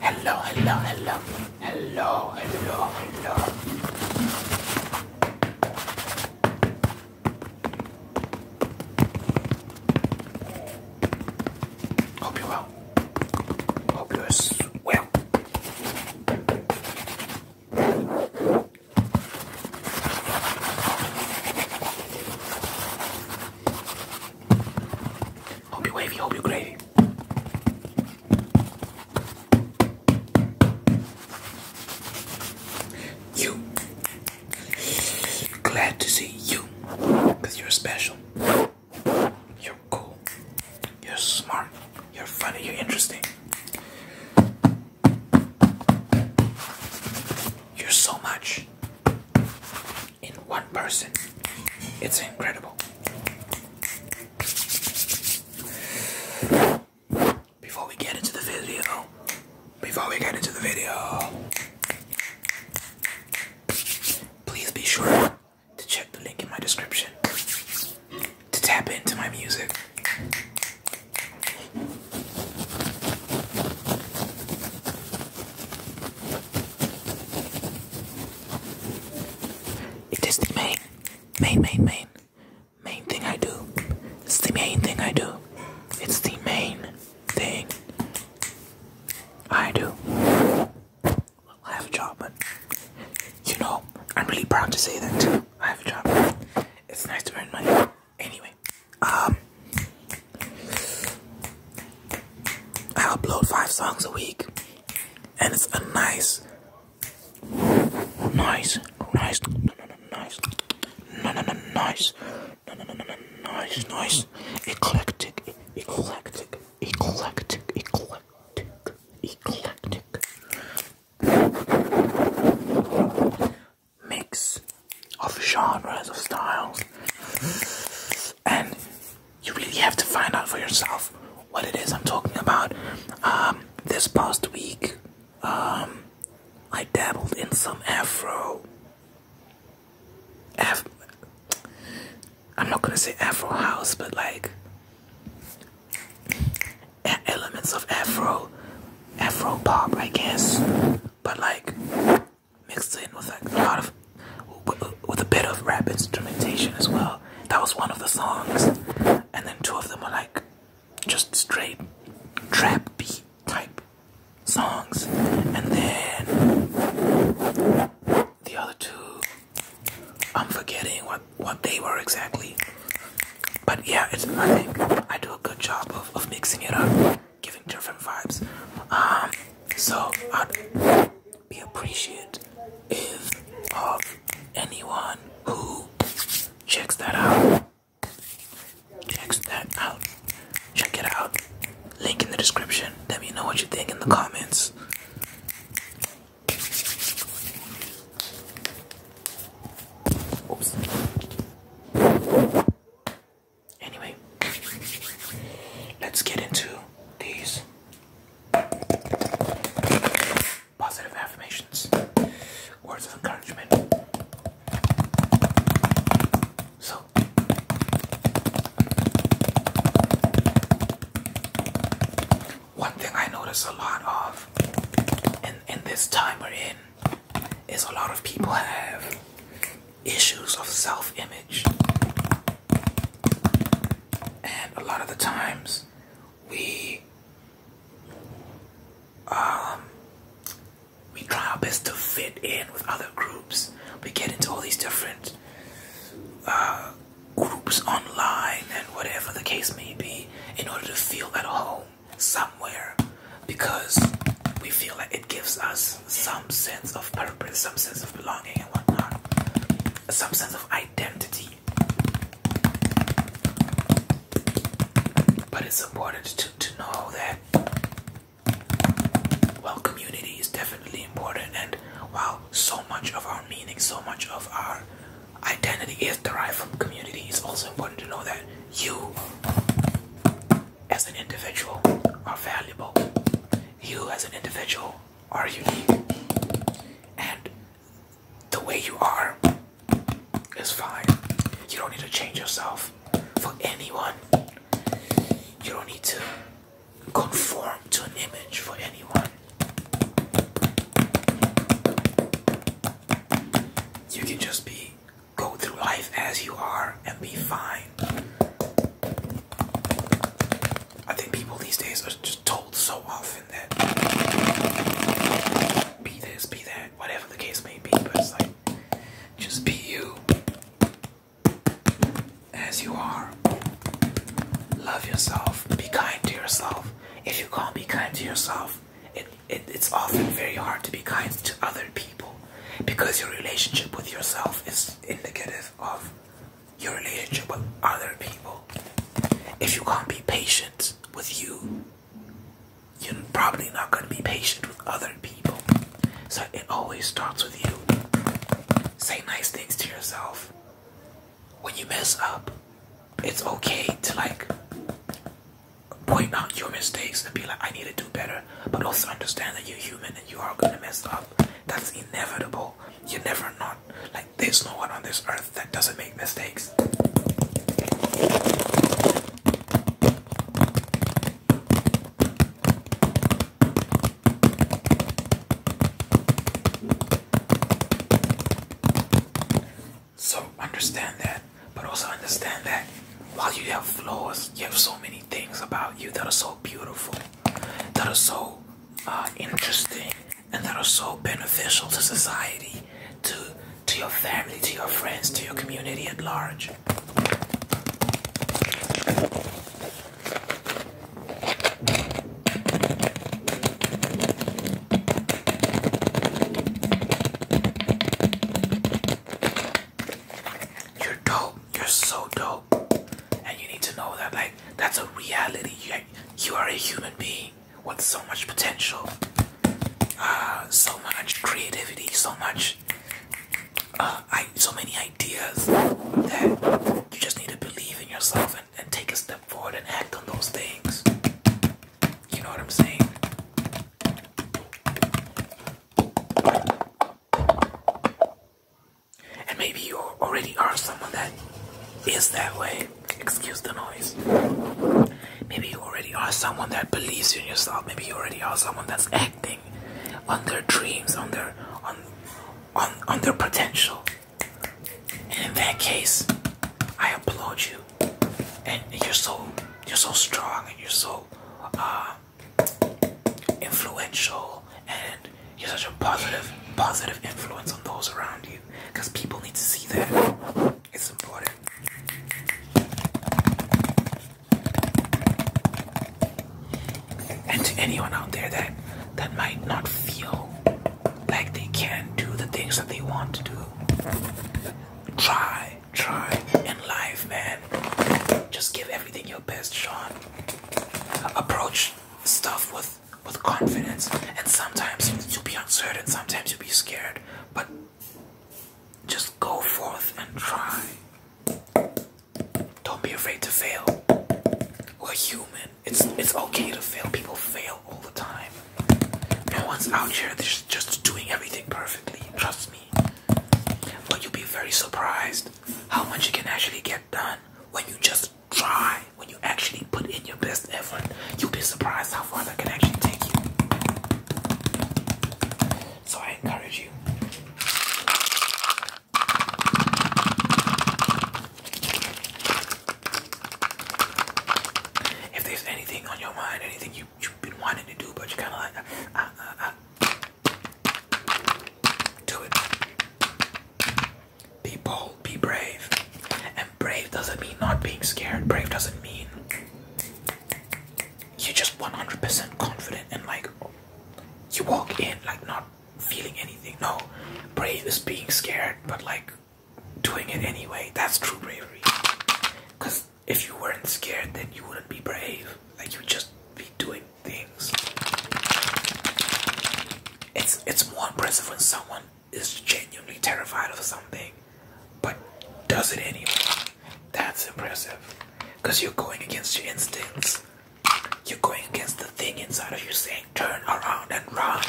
Hello, hello, hello. Hello, hello, hello. Hope you're well. Hope you're well. Hope you wavy, hope you gravy. You. Glad to see you. Because you're special. You're cool. You're smart. You're funny. You're interesting. You're so much in one person. It's incredible. Before we get into the video, before we get into the video, please be sure to check the link in my description to tap into my music. It is the main, main, main, main, main thing I do. It's the main thing I do. It's the main thing I do. I have a job, but you know, I'm really proud to say that too. I have a job. It's nice to earn money. Anyway, um, I upload five songs a week, and it's a nice, nice, nice, nice, nice, nice, nice, eclectic, eclectic, eclectic, eclectic, eclectic mix of genres, of styles, and you really have to find out for yourself what it is I'm talking about. Um, this past week, um, I dabbled in some Afro. Af am not gonna say Afro house, but like elements of Afro, Afro pop, I guess, but like mixed in with like a lot of, with a bit of rap instrumentation as well. That was one of the songs, and then two of them were like just straight trap beat type songs, and then the other two, I'm forgetting what what they were exactly. But yeah, it's, I I do a good job of, of mixing it up, giving different vibes. Um, so I'd be appreciative if anyone who checks that out. Checks that out. Check it out. Link in the description. Let me know what you think in the comments. Oops. Anyway, let's get into these positive affirmations, words of encouragement. So, one thing I notice a lot of and in this time we're in is a lot of people have issues of self-image and a lot of the times we um we try our best to fit in with other groups we get into all these different uh, groups online and whatever the case may be in order to feel at home somewhere because we feel like it gives us some sense of purpose, some sense of belonging, and whatnot, some sense of identity. But it's important to, to know that while community is definitely important, and while so much of our meaning, so much of our Identity is derived from community. It's also important to know that you, as an individual, are valuable. You, as an individual, are unique. And the way you are is fine. You don't need to change yourself for anyone. You don't need to conform to an image for anyone. You can just be go through life as you are and be fine. I think people these days are just told so often that be this, be that, whatever the case may be, but it's like just be you as you are. Love yourself, be kind to yourself. If you can't be kind to yourself, it, it's often very hard to be kind to other people because your relationship with yourself is indicative of your relationship with other people. If you can't be patient with you, you're probably not going to be patient with other people. So it always starts with you. Say nice things to yourself when you mess up, it's okay to like point out your mistakes and be like, I need to do better, but also understand that you're human and you are gonna mess up. That's inevitable. You're never not. Like, there's no one on this earth that doesn't make mistakes. So understand that, but also understand that while you have flaws, you have so many things about you that are so beautiful, that are so uh, interesting, and that are so beneficial to society, to to your family, to your friends, to your community at large. You're dope. You're so dope. And you need to know that, like, that's a reality. You, you are a human being with so much potential, uh, so much creativity, so much, uh, so many ideas that you just need to believe in yourself and, take a step forward and act on those things. You know what I'm saying? And maybe you already are someone that is that way. Excuse the noise. Maybe you already are someone that believes in yourself. Maybe you already are someone that's acting on their dreams, on their on on on their potential. And in that case, I applaud you. And you're so you're so strong and you're so uh, influential and you're such a positive positive influence on those around you because people need to see that. It's important. And to anyone out there that that might not feel like they can not do the things that they want to do. Try, try and live, man. Just give everything your best shot. Approach stuff with with confidence, and sometimes you'll be uncertain, sometimes you'll be scared, but just go forth and try. Don't be afraid to fail. We're human. It's it's okay to fail. People fail all the time. No one's out here that's just doing everything perfectly. Trust me. But you'll be very surprised how much you can actually get done when you just try. When you actually put in your best effort, you'll be surprised how far that can actually take you. So I encourage you. If there's anything on your mind, anything you, you've been wanting to do, but you're kind of like, uh, uh, uh, uh, do it. Be bold, be brave. And brave doesn't mean not being scared. Brave doesn't mean you're just 100% confident and like you walk in like not feeling anything. No, brave is being scared, but like doing it anyway. That's true bravery. Because if you weren't scared, then you wouldn't be brave. Like, you'd just be doing things. It's, it's more impressive when someone is genuinely terrified of something, but does it anyway. That's impressive. Because you're going against your instincts. You're going against the thing inside of you saying, turn around and run.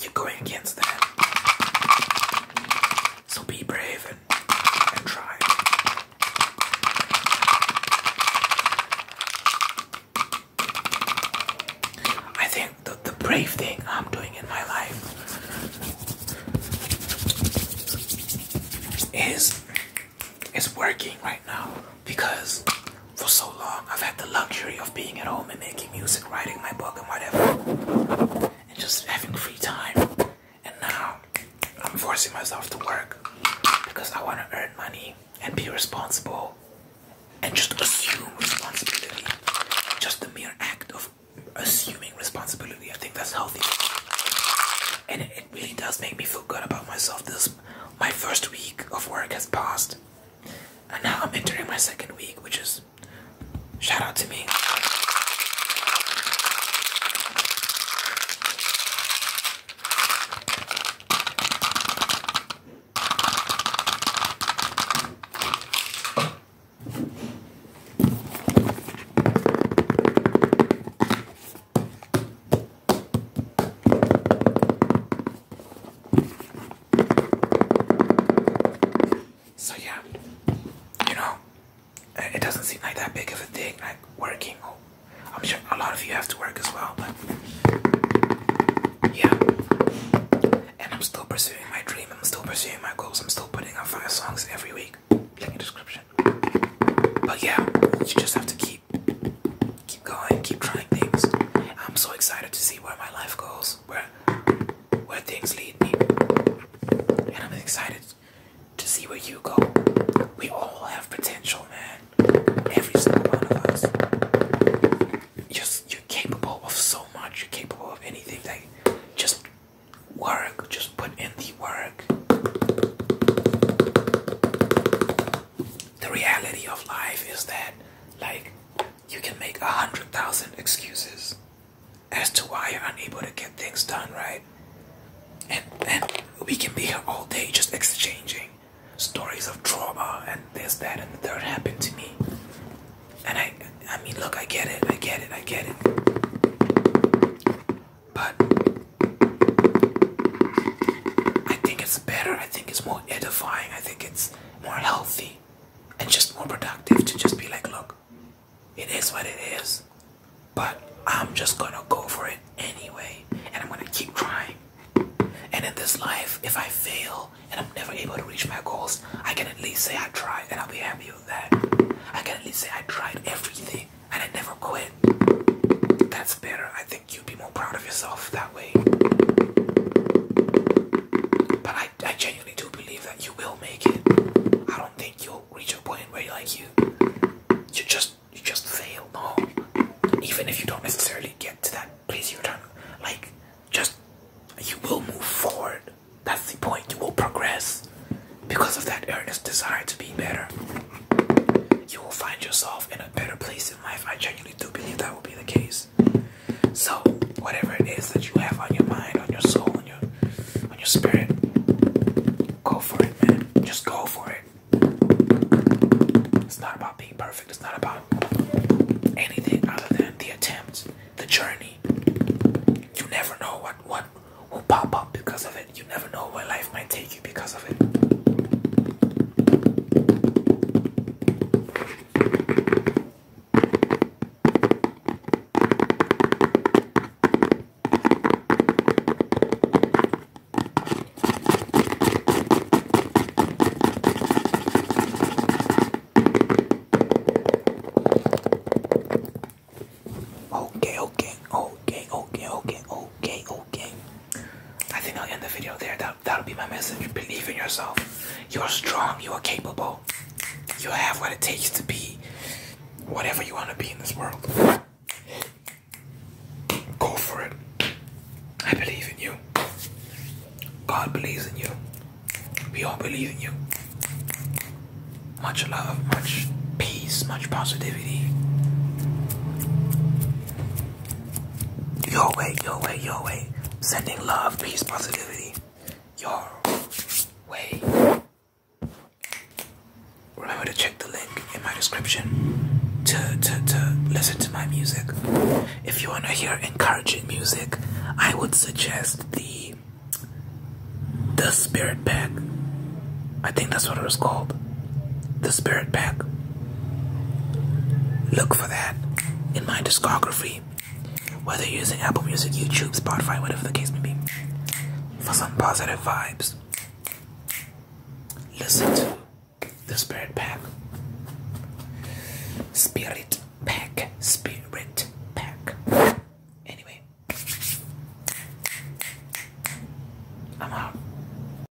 You're going against that. So be brave and, and try. I think the, the brave thing I'm doing in my life is is working right now because for so long. I've had the luxury of being at home and making music, writing my book, and whatever, and just having free time. And now I'm forcing myself to work because I want to earn money and be responsible and just assume responsibility. Just the mere act of assuming responsibility. I think that's healthy. And it really does make me feel good about myself. This my first week of work has passed and now I'm entering my second week, which is shout out to me. So yeah, you know, it doesn't seem like that big of a thing, like working. Oh, I'm sure a lot of you have to work as well, but yeah. And I'm still pursuing my dream. I'm still pursuing my goals. I'm still putting out five songs every week. Link in description. But yeah, you just have to keep keep going, keep trying things. I'm so excited to see where my life goes, where where things lead me. And I'm excited to see where you go. We all have potential, man. Every single one of us. Just you're capable of so much. You're capable of anything. Like, just work. Just put in the work the reality of life is that like you can make a hundred thousand excuses as to why you're unable to get things done right and and we can be here all day just exchanging stories of trauma and this that and the third happened to me and i i mean look i get it i get it i get it but i think it's better i think it's more edifying i think it's more healthy and just more productive to just be like, look, it is what it is, but I'm just gonna go for it anyway, and I'm gonna keep trying. And in this life, if I fail and I'm never able to reach my goals, I can at least say I tried, and I'll be happy with that. I can at least say I tried everything and I never quit. That's better, I think you'd be more proud of yourself that way. But I, I genuinely do believe that you will make it. I don't think you'll reach a point where you're like you, you just, you just fail. No, even if you don't necessarily get to that place you're trying, like just you will move forward. That's the point. You will progress because of that earnest desire to be better. You will find yourself in a better place in life. I genuinely do believe that will be the case. So, whatever it is that you have on your mind, on your soul, on your on your spirit, go for it, man. Just go for it. It's not about being perfect. It's not about anything other than the attempt, the journey. You never know what what will pop up because of it. You never know where life might take because of it. Okay, okay, okay, okay, okay, okay, okay. I think I'll end the video there. That that'll be my message. Believe in yourself. You are strong. You are capable. You have what it takes to be whatever you want to be in this world. Go for it. I believe in you. God believes in you. We all believe in you. Much love, much peace, much positivity. Your way, your way, your way. Sending love, peace, positivity. Your way. Remember to check the link in my description to, to, to listen to my music. If you want to hear encouraging music, I would suggest the the Spirit Pack. I think that's what it was called the spirit pack. Look for that in my discography, whether you're using Apple Music, YouTube, Spotify, whatever the case may be, for some positive vibes. Listen to the spirit pack. Spirit pack. Spirit pack. Anyway, I'm out.